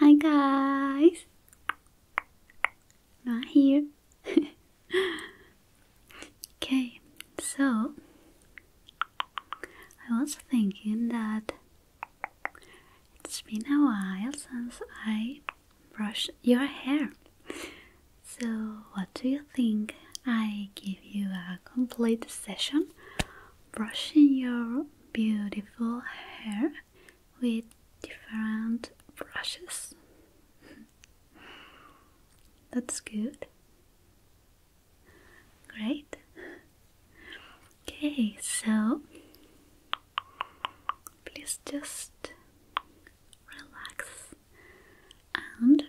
Hi guys, not here. okay, so I was thinking that it's been a while since I brushed your hair. So, what do you think? I give you a complete session brushing your beautiful hair with different brushes. That's good. Great. Okay, so please just relax and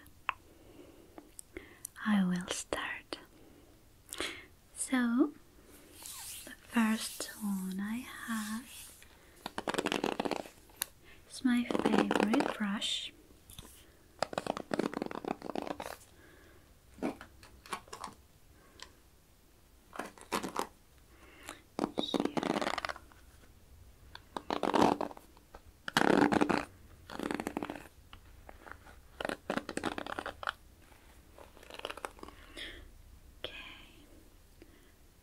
I will start so, the first one I have is my favorite brush. Here. Okay,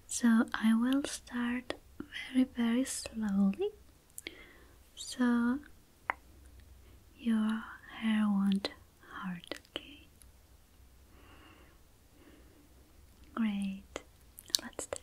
so I will start very, very slowly so your hair won't hurt, okay? Great, let's start.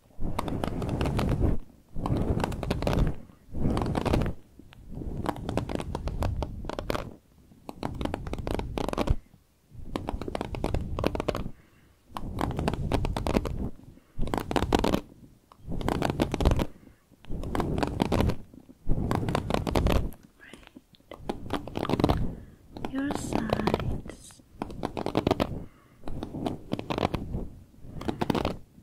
Right. Your sides.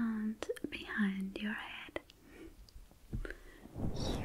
And behind your head, here. Here.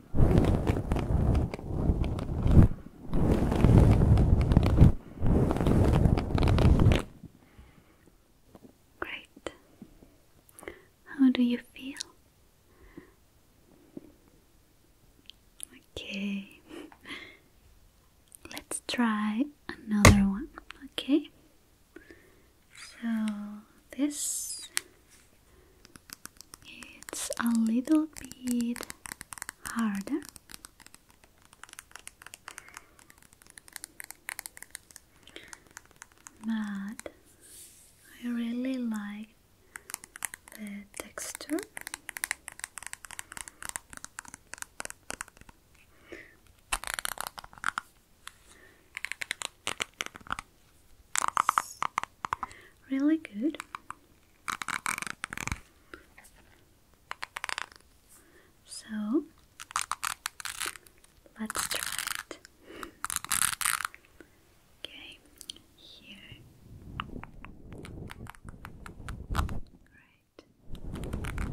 Great. How do you feel? Okay. Let's try another one, okay? So, this it's a little bit harder. But I really like the texture really good. So let's try it. Okay, here. Right.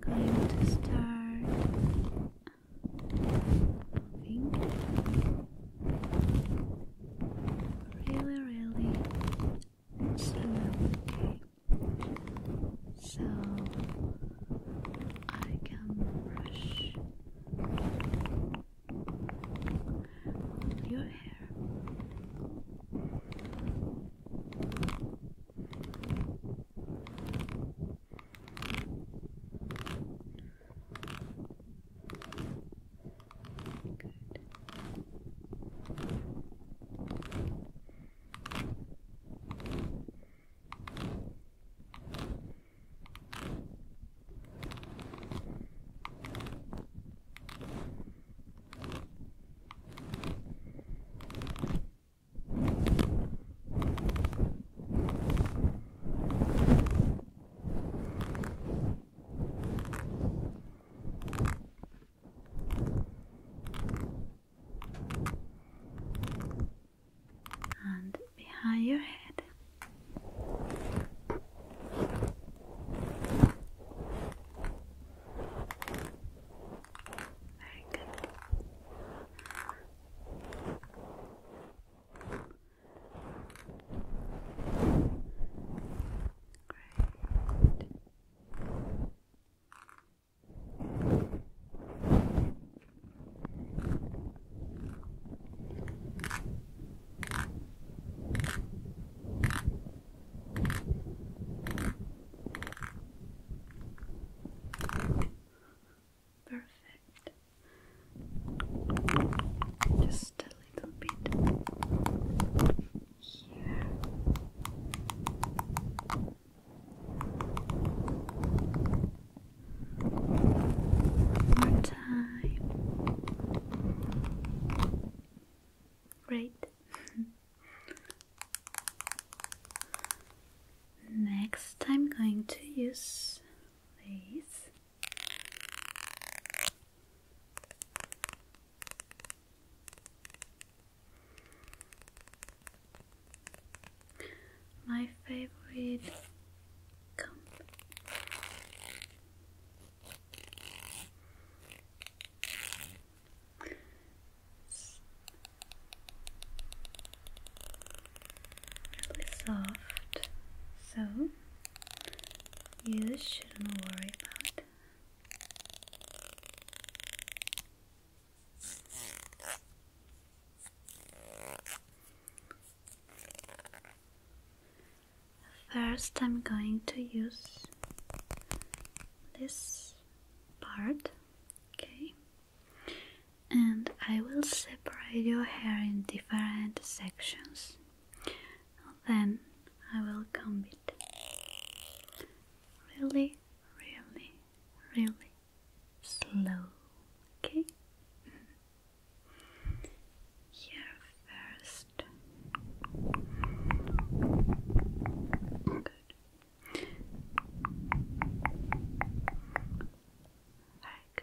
Going to start moving really, really slow. so I can brush on your hair. Good. Good and behind your head. Very good. Great. Very Perfect. Just a little bit here. One more time. Great. Next, I'm going to use these my favorite Really soft, so you shouldn't worry about First, I'm going to use this part, okay, and I will separate your hair in different sections. Then I will comb it really, really, really slow, okay? Here first. Good. Very good. Great. Perfect.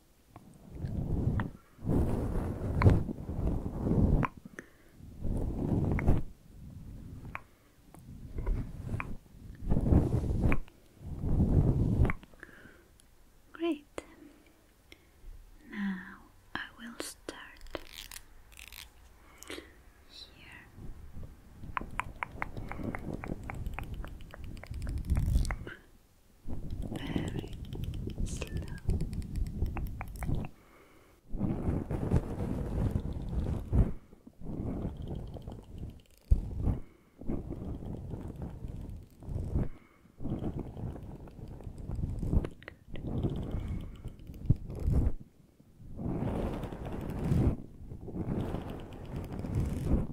Great. Now I will start here very slow. Good.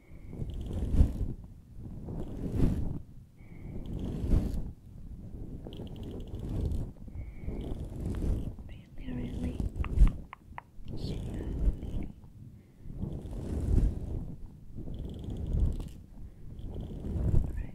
Really, really slowly. Right. Right.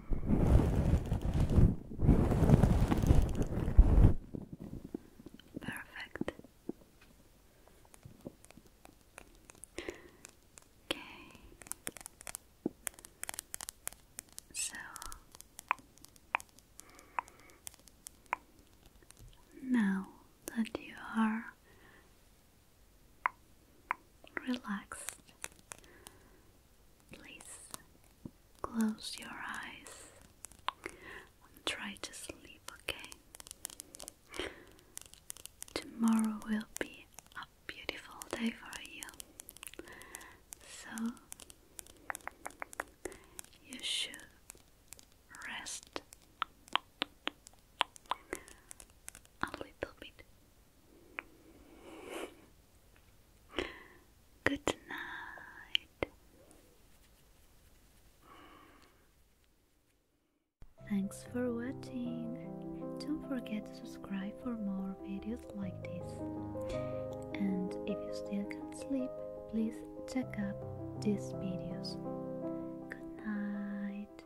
Perfect. Okay. So now that you are relaxed, Please close your eyes and try to sleep, okay? Tomorrow will be a beautiful day for you, so you should rest a little bit. Good night. Thanks for watching. Don't forget to subscribe for more videos like this. And if you still can't sleep, please check out these videos. Good night.